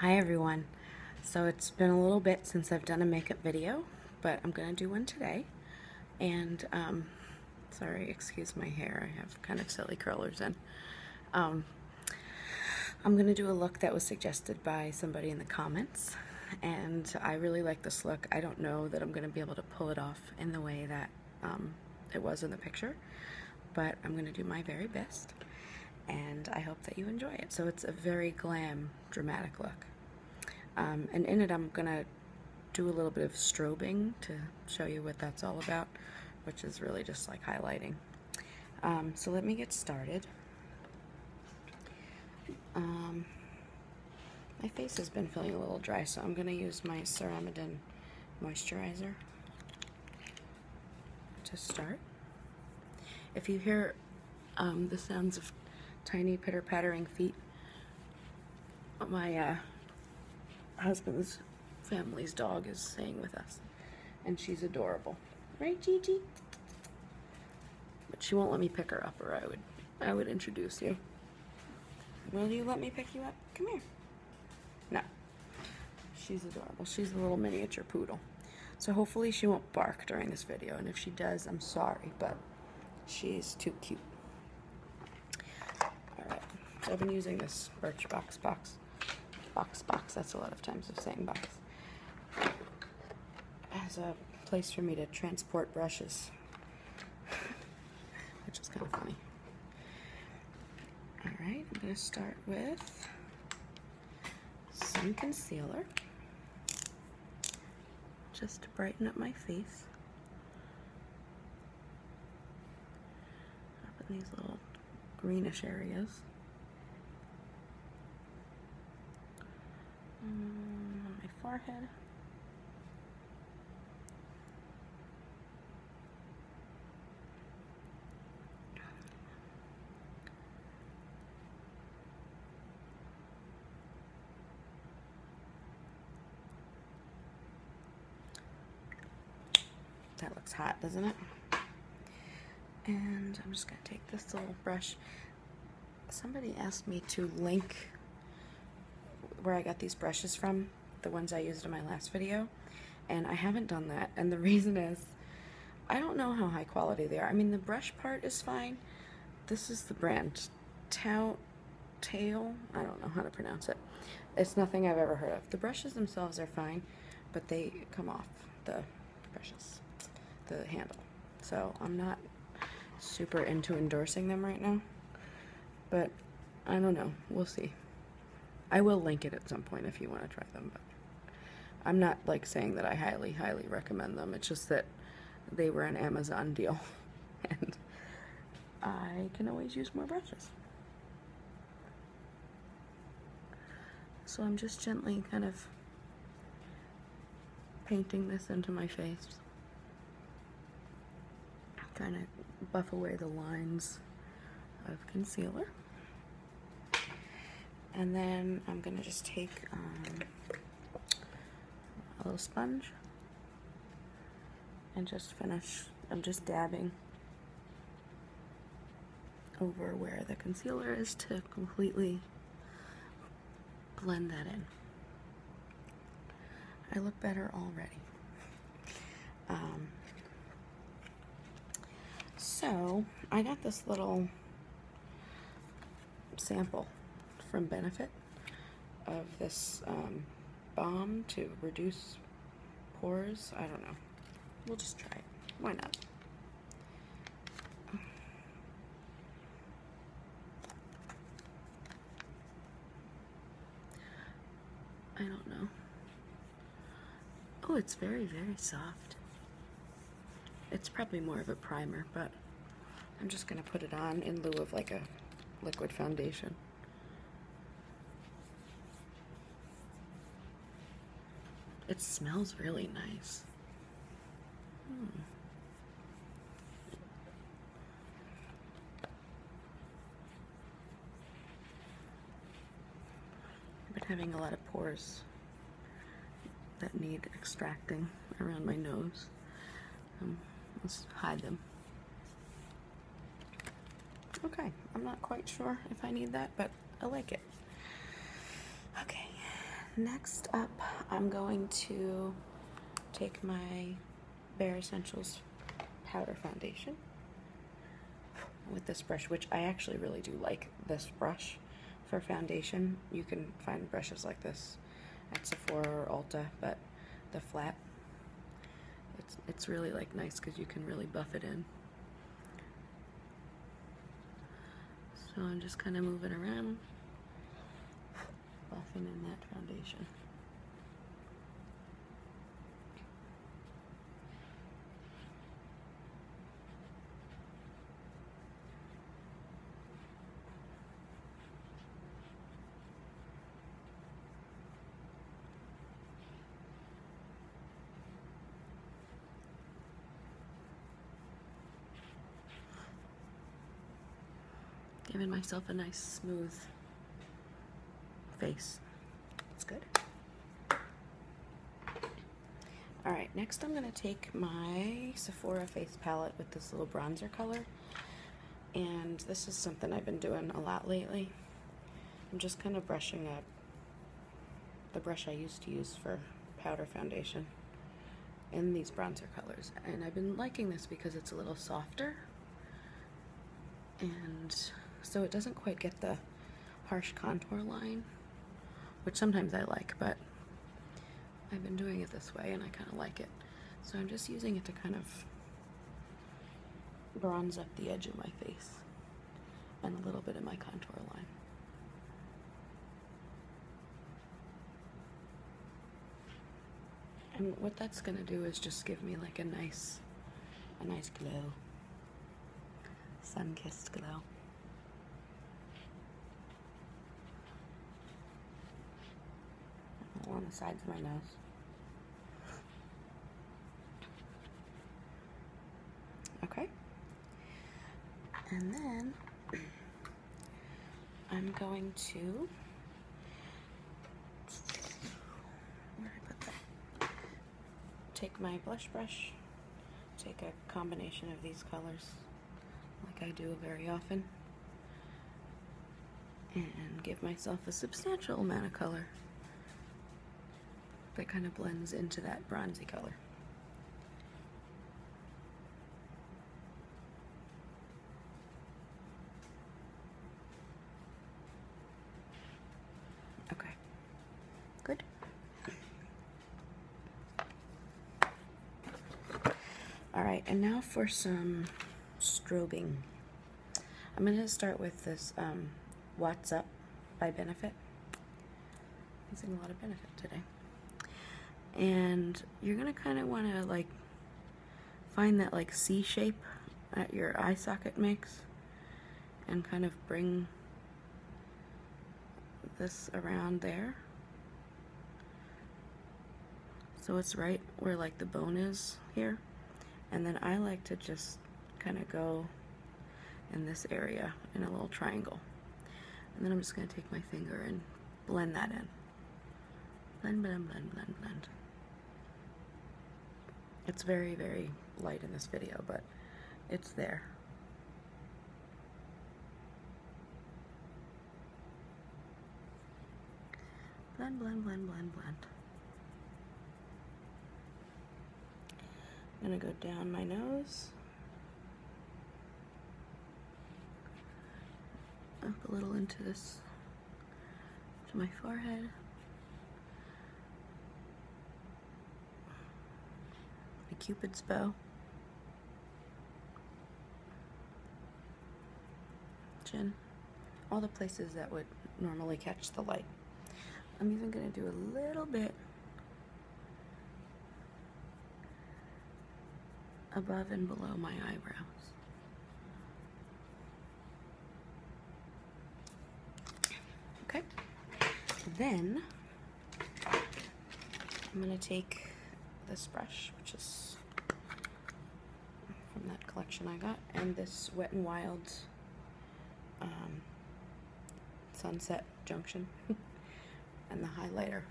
Hi everyone. So it's been a little bit since I've done a makeup video, but I'm gonna do one today. And um, sorry, excuse my hair. I have kind of silly curlers in. Um, I'm gonna do a look that was suggested by somebody in the comments. And I really like this look. I don't know that I'm gonna be able to pull it off in the way that um, it was in the picture, but I'm gonna do my very best. And I hope that you enjoy it. So it's a very glam, dramatic look. Um, and in it, I'm going to do a little bit of strobing to show you what that's all about, which is really just like highlighting. Um, so let me get started. Um, my face has been feeling a little dry, so I'm going to use my Ceramidin moisturizer to start. If you hear um, the sounds of tiny pitter pattering feet, my uh, husband's family's dog is staying with us, and she's adorable, right, Gigi? But she won't let me pick her up, or I would, I would introduce you. Will you let me pick you up? Come here. No. She's adorable. She's a little miniature poodle. So hopefully she won't bark during this video. And if she does, I'm sorry, but she's too cute. All right. So I've been using this Birchbox box. Box, box. That's a lot of times of saying box. As a place for me to transport brushes, which is kind of funny. All right, I'm gonna start with some concealer just to brighten up my face. Up in these little greenish areas. Mm, on my forehead. That looks hot, doesn't it? And I'm just going to take this little brush. Somebody asked me to link where I got these brushes from, the ones I used in my last video and I haven't done that and the reason is I don't know how high quality they are. I mean the brush part is fine. This is the brand Tout Tail. I don't know how to pronounce it. It's nothing I've ever heard of. The brushes themselves are fine, but they come off the brushes, the handle. So I'm not super into endorsing them right now, but I don't know. We'll see. I will link it at some point if you want to try them, but I'm not like saying that I highly, highly recommend them. It's just that they were an Amazon deal and I can always use more brushes. So I'm just gently kind of painting this into my face. Trying to buff away the lines of concealer. And then I'm gonna just take um, a little sponge and just finish, I'm just dabbing over where the concealer is to completely blend that in. I look better already. Um, so I got this little sample from Benefit of this um, bomb to reduce pores. I don't know. We'll just try it. Why not? I don't know. Oh, it's very, very soft. It's probably more of a primer, but I'm just going to put it on in lieu of like a liquid foundation. It smells really nice. Hmm. I've been having a lot of pores that need extracting around my nose. Um, let's hide them. Okay, I'm not quite sure if I need that, but I like it. Okay, next up, I'm going to take my Bare Essentials powder foundation with this brush, which I actually really do like this brush for foundation. You can find brushes like this at Sephora or Ulta, but the flat, it's, it's really like nice because you can really buff it in. So I'm just kind of moving around, buffing in that foundation giving myself a nice smooth face. It's good. All right, next I'm gonna take my Sephora face palette with this little bronzer color. And this is something I've been doing a lot lately. I'm just kind of brushing up the brush I used to use for powder foundation in these bronzer colors. And I've been liking this because it's a little softer and so it doesn't quite get the harsh contour line, which sometimes I like, but I've been doing it this way and I kind of like it. So I'm just using it to kind of bronze up the edge of my face and a little bit of my contour line. And what that's gonna do is just give me like a nice, a nice glow sun kissed glow. on the sides of my nose. Okay. And then I'm going to take my blush brush, take a combination of these colors like I do very often, and give myself a substantial amount of color that kind of blends into that bronzy color. Okay. Good. All right, and now for some strobing. I'm going to start with this um, What's Up by Benefit. I'm using a lot of Benefit today. And you're going to kind of want to like find that like C shape that your eye socket makes and kind of bring this around there. So it's right where like the bone is here. And then I like to just kind of go in this area in a little triangle. And then I'm just gonna take my finger and blend that in. Blend, blend, blend, blend, blend. It's very, very light in this video, but it's there. Blend, blend, blend, blend, blend. I'm gonna go down my nose. Up a little into this to my forehead. the cupid's bow. Chin. All the places that would normally catch the light. I'm even going to do a little bit above and below my eyebrows. Okay. Then I'm going to take this brush, which is from that collection I got, and this Wet n Wild um, Sunset Junction, and the highlighter,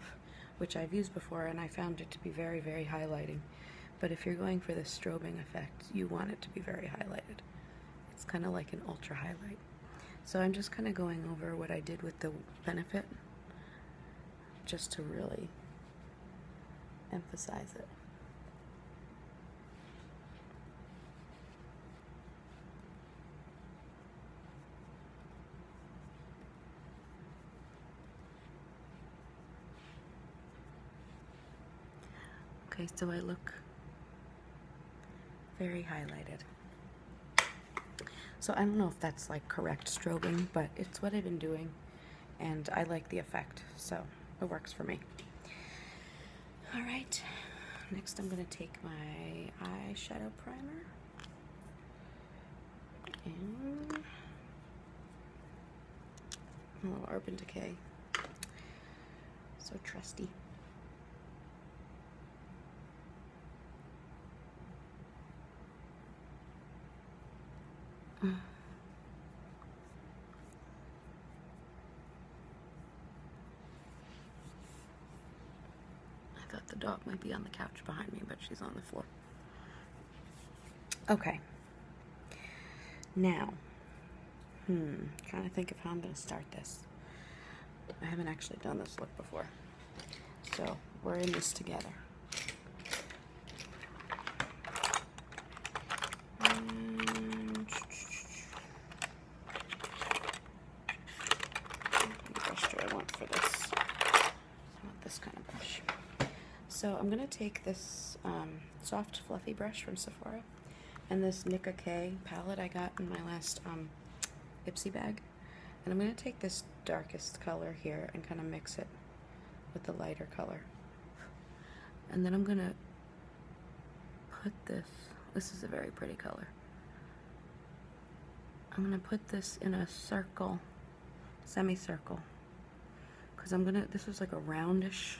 which I've used before, and I found it to be very, very highlighting. But if you're going for the strobing effect, you want it to be very highlighted. It's kind of like an ultra highlight. So I'm just kind of going over what I did with the benefit just to really emphasize it. Okay, so I look very highlighted. So I don't know if that's like correct strobing, but it's what I've been doing and I like the effect, so it works for me. All right, next I'm gonna take my eyeshadow primer and a little Urban Decay so trusty. I thought the dog might be on the couch behind me, but she's on the floor. Okay. Now, hmm, trying to think of how I'm going to start this. I haven't actually done this look before. So, we're in this together. Mm. And... brush do I want for this? I this kind of brush. So I'm going to take this um, soft fluffy brush from Sephora. And this Nika K palette I got in my last um, Ipsy bag. And I'm going to take this darkest color here and kind of mix it with the lighter color. And then I'm going to put this, this is a very pretty color. I'm going to put this in a circle, semicircle because I'm gonna this was like a roundish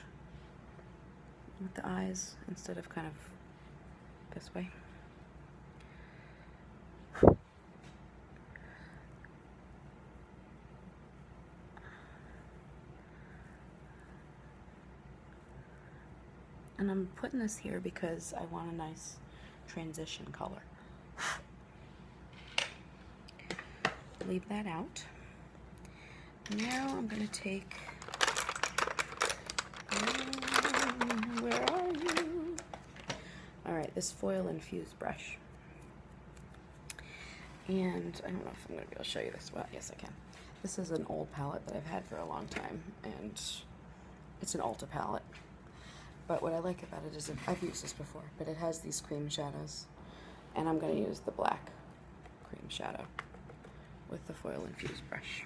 with the eyes instead of kind of this way and I'm putting this here because I want a nice transition color leave that out now I'm going to take, um, where are you? All right, this foil infused brush. And I don't know if I'm going to be able to show you this. Well, yes, I can. This is an old palette that I've had for a long time, and it's an Alta palette. But what I like about it is, I've used this before, but it has these cream shadows. And I'm going to use the black cream shadow with the foil infused brush.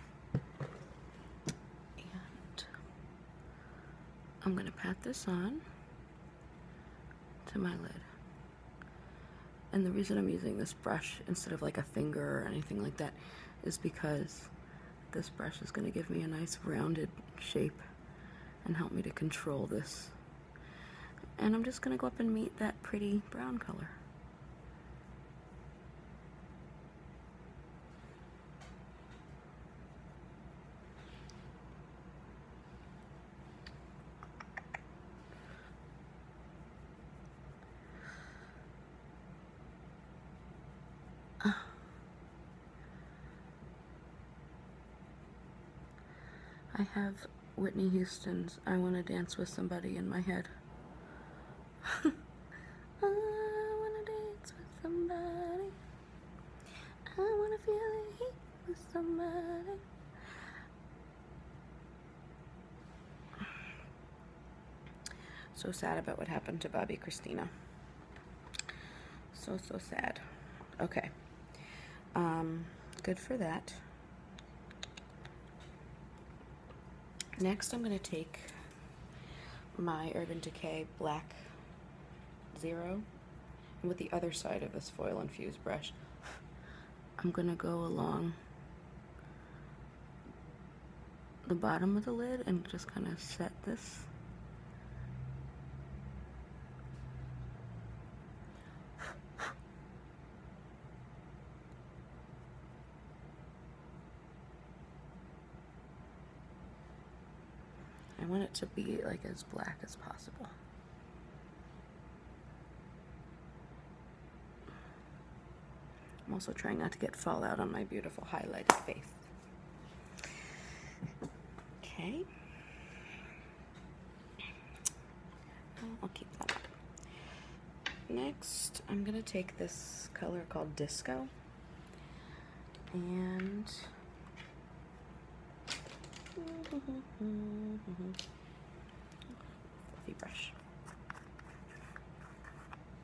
And I'm going to pat this on to my lid. And the reason I'm using this brush instead of like a finger or anything like that is because this brush is going to give me a nice rounded shape and help me to control this and I'm just gonna go up and meet that pretty brown color. I have Whitney Houston's I Want to Dance with Somebody in my head. I want to dance with somebody. I want to feel the heat with somebody. So sad about what happened to Bobby Christina. So, so sad. Okay. Um, good for that. Next, I'm going to take my Urban Decay Black Zero, and with the other side of this foil infused brush, I'm going to go along the bottom of the lid and just kind of set this I want it to be like as black as possible. I'm also trying not to get fallout on my beautiful highlighted face. Okay. I'll keep that Next, I'm going to take this color called Disco and fluffy brush.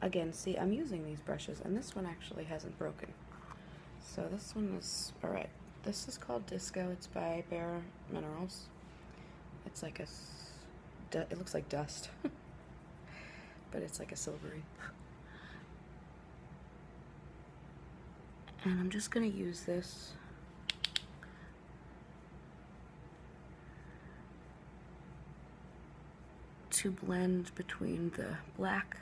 Again, see, I'm using these brushes, and this one actually hasn't broken. So this one is all right. This is called Disco. It's by Bare Minerals. It's like a, it looks like dust, but it's like a silvery. and I'm just going to use this to blend between the black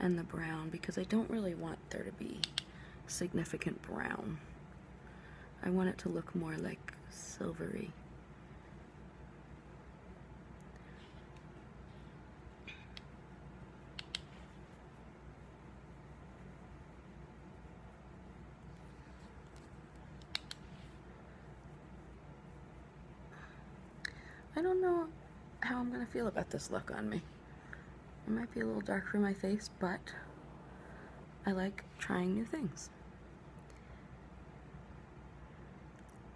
and the brown because I don't really want there to be significant brown. I want it to look more like silvery. I don't know how I'm going to feel about this look on me. It might be a little dark for my face, but I like trying new things.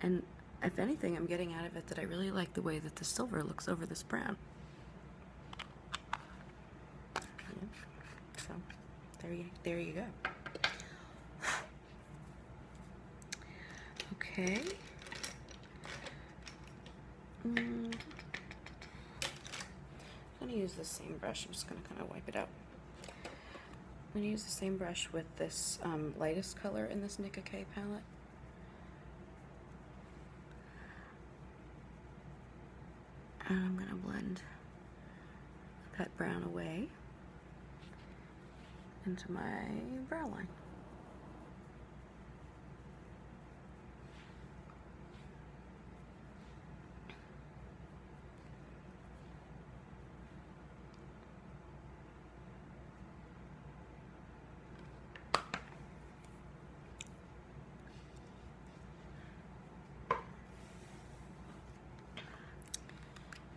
And if anything, I'm getting out of it that I really like the way that the silver looks over this brown. So there you, there you go. Okay. I'm gonna use the same brush. I'm just gonna kind of wipe it out. I'm gonna use the same brush with this um, lightest color in this Nika K palette. And I'm gonna blend that brown away into my brow line.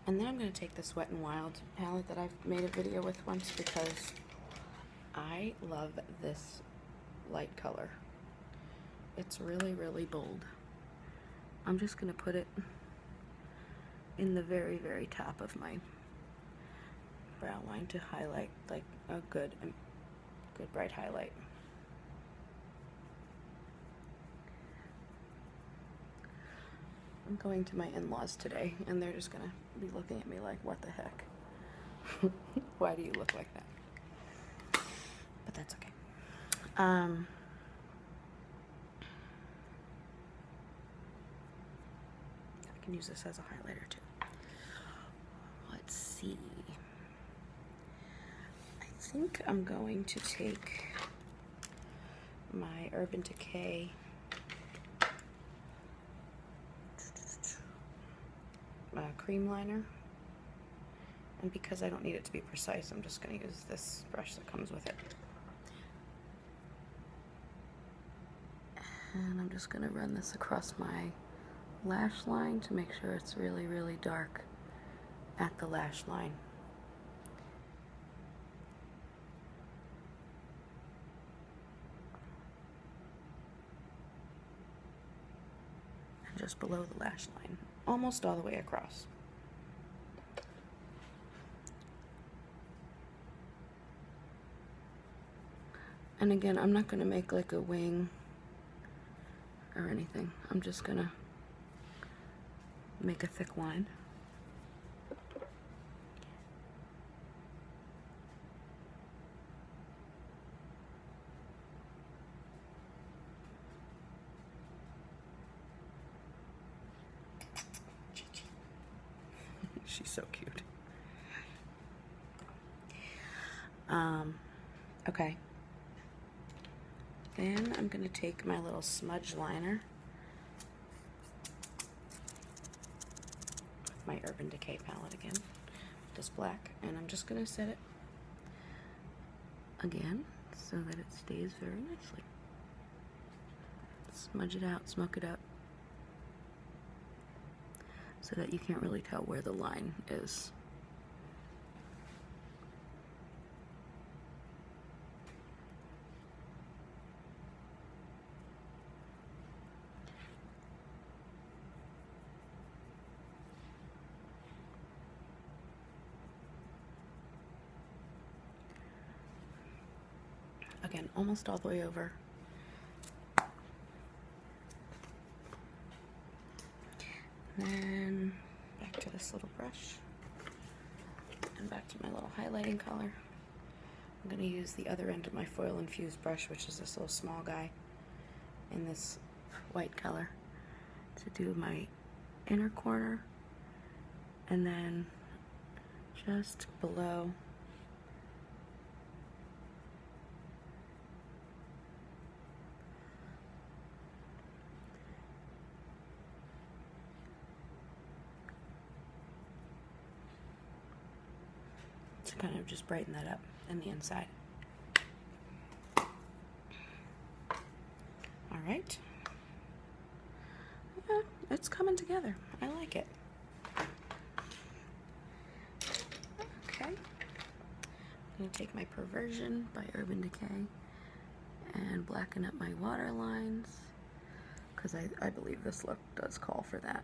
And then I'm going to take the Sweat and Wild palette that I've made a video with once because I love this light color. It's really, really bold. I'm just gonna put it in the very, very top of my brow line to highlight like a good, um, good bright highlight. I'm going to my in-laws today and they're just gonna be looking at me like, what the heck? Why do you look like that? But that's okay. Um, I can use this as a highlighter too. Let's see. I think I'm going to take my Urban Decay uh, cream liner. And because I don't need it to be precise, I'm just going to use this brush that comes with it. And I'm just going to run this across my lash line to make sure it's really, really dark at the lash line and just below the lash line, almost all the way across. And again, I'm not going to make like a wing or anything. I'm just going to make a thick line. She's so cute. Um, okay. Then I'm going to take my little smudge liner with my Urban Decay palette again, just black, and I'm just going to set it again so that it stays very nicely. Smudge it out, smoke it up, so that you can't really tell where the line is. Again, almost all the way over. then back to this little brush and back to my little highlighting color. I'm going to use the other end of my foil infused brush, which is this little small guy in this white color, to do my inner corner and then just below to kind of just brighten that up in the inside. All right. it's coming together. I like it. Okay. I'm going to take my Perversion by Urban Decay and blacken up my water lines because I, I believe this look does call for that.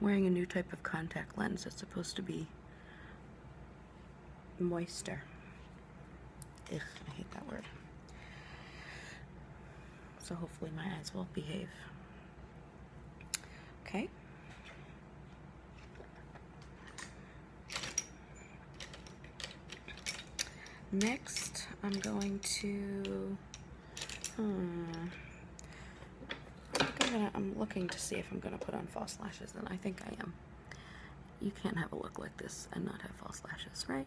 wearing a new type of contact lens that's supposed to be moister. I hate that word. So hopefully my eyes will behave. Okay. Next, I'm going to, hmm, I am I'm looking to see if I'm gonna put on false lashes, and I think I am. You can't have a look like this and not have false lashes, right?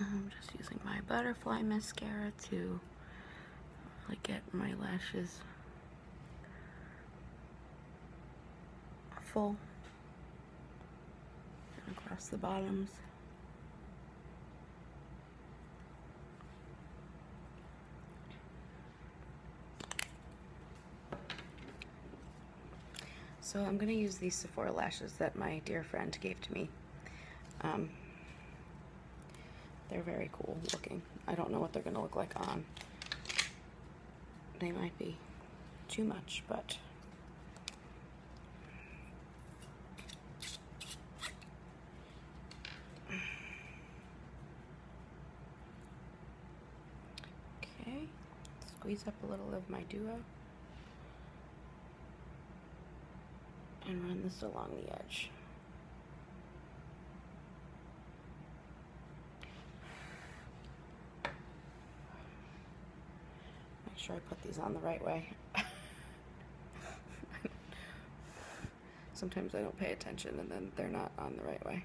I'm um, just using my butterfly mascara to get my lashes full and across the bottoms. So I'm going to use these Sephora lashes that my dear friend gave to me. Um, they're very cool looking. I don't know what they're going to look like on. They might be too much, but... Okay, squeeze up a little of my duo. And run this along the edge. Make sure I put these on the right way. Sometimes I don't pay attention and then they're not on the right way.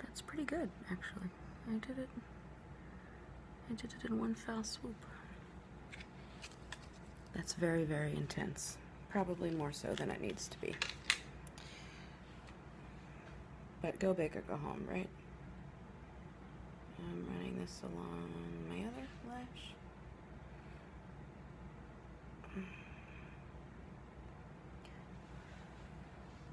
that's pretty good actually. I did it. I did it in one foul swoop. That's very, very intense. Probably more so than it needs to be. But go big or go home, right? I'm running this along my other lash.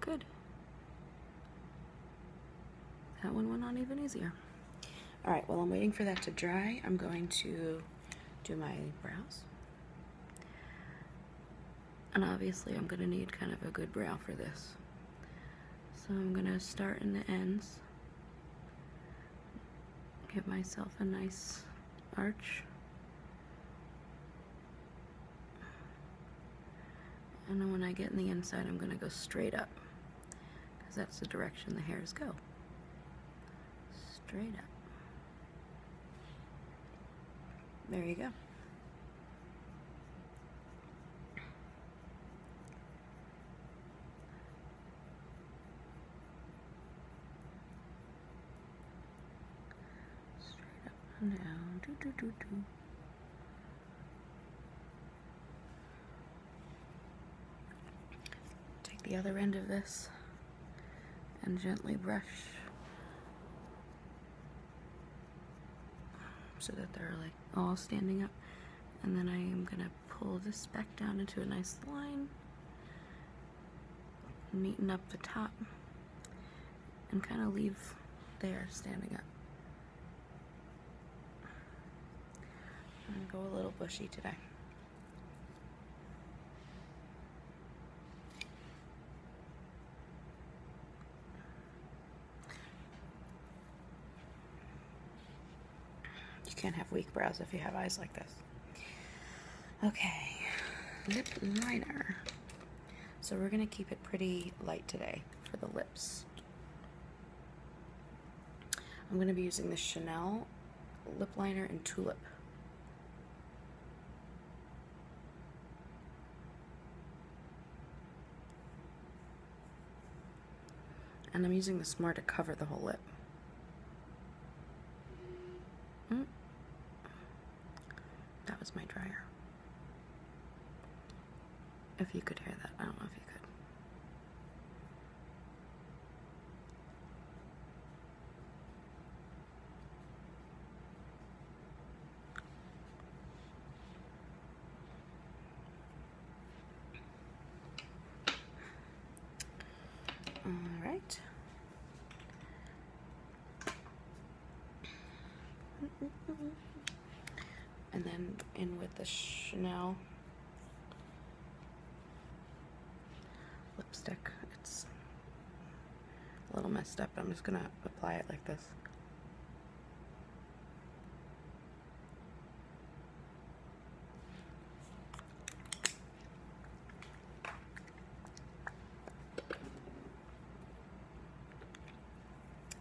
Good. That one went on even easier. All right, while I'm waiting for that to dry, I'm going to do my brows. And obviously I'm gonna need kind of a good brow for this. So I'm gonna start in the ends. Give myself a nice arch. And then when I get in the inside, I'm gonna go straight up because that's the direction the hairs go. Straight up. There you go. Straight up and down. Do, do, do, do. Take the other end of this and gently brush so that they're like all standing up. And then I am gonna pull this back down into a nice line meeting up the top and kind of leave there standing up. I'm gonna go a little bushy today. You can't have weak brows if you have eyes like this. Okay, lip liner. So we're gonna keep it pretty light today for the lips. I'm gonna be using the Chanel lip liner and tulip. And I'm using the more to cover the whole lip. Mm. That was my dryer. If you could hear that, I don't know if you could. All right and then in with the Chanel lipstick. It's a little messed up. I'm just going to apply it like this.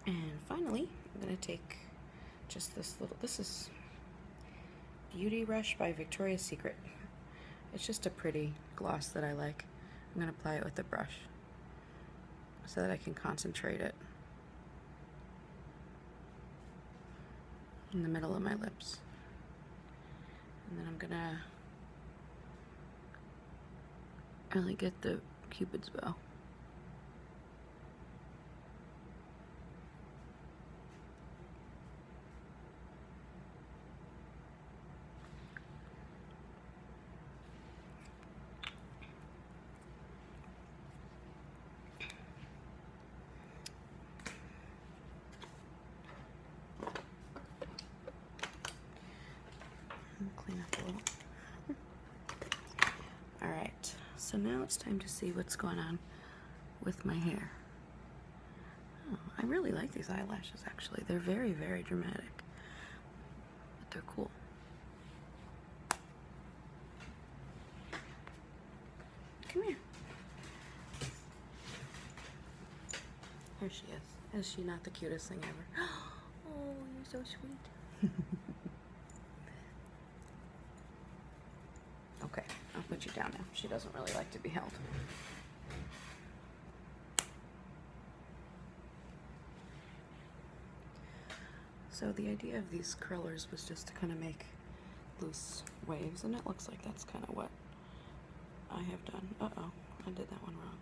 And finally, I'm going to take just this little, this is Beauty Rush by Victoria's Secret. It's just a pretty gloss that I like. I'm going to apply it with a brush so that I can concentrate it in the middle of my lips. And then I'm gonna really get the cupid's bow. All right, so now it's time to see what's going on with my hair. Oh, I really like these eyelashes actually. They're very, very dramatic, but they're cool. Come here. Here she is. Is she not the cutest thing ever? Oh, you're so sweet. okay, I'll put you down now. She doesn't really like to be held. So the idea of these curlers was just to kind of make loose waves, and it looks like that's kind of what I have done. Uh-oh, I did that one wrong.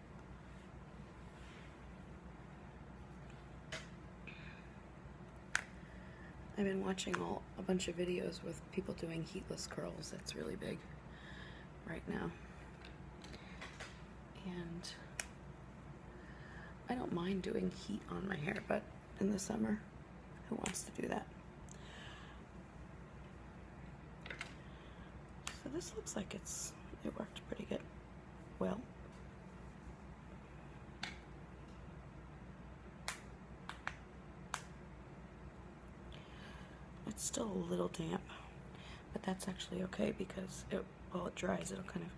I've been watching all a bunch of videos with people doing heatless curls. That's really big right now. And I don't mind doing heat on my hair, but in the summer, who wants to do that? So this looks like it's it worked pretty good. Well. It's still a little damp, but that's actually okay because it while it dries it'll kind of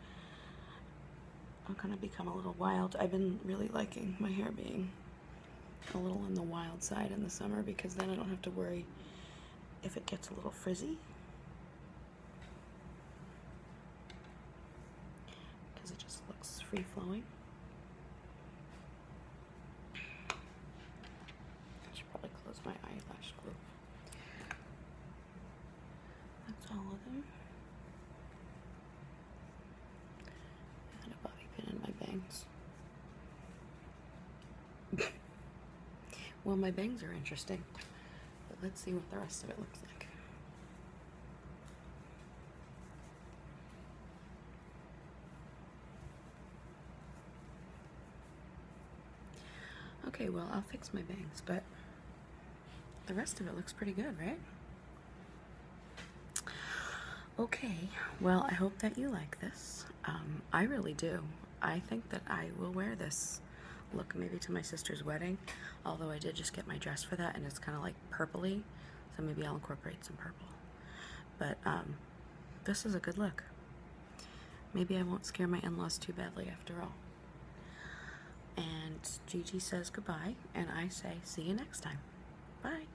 I'm gonna become a little wild. I've been really liking my hair being a little on the wild side in the summer because then I don't have to worry if it gets a little frizzy. Because it just looks free flowing. I should probably close my eyelash glue. That's all of them. I a bobby pin in my bangs well, my bangs are interesting, but let's see what the rest of it looks like. Okay, well, I'll fix my bangs, but the rest of it looks pretty good, right? Okay, well, I hope that you like this. Um, I really do. I think that I will wear this look maybe to my sister's wedding, although I did just get my dress for that and it's kind of like purpley, so maybe I'll incorporate some purple. But um, this is a good look. Maybe I won't scare my in-laws too badly after all. And Gigi says goodbye, and I say see you next time. Bye.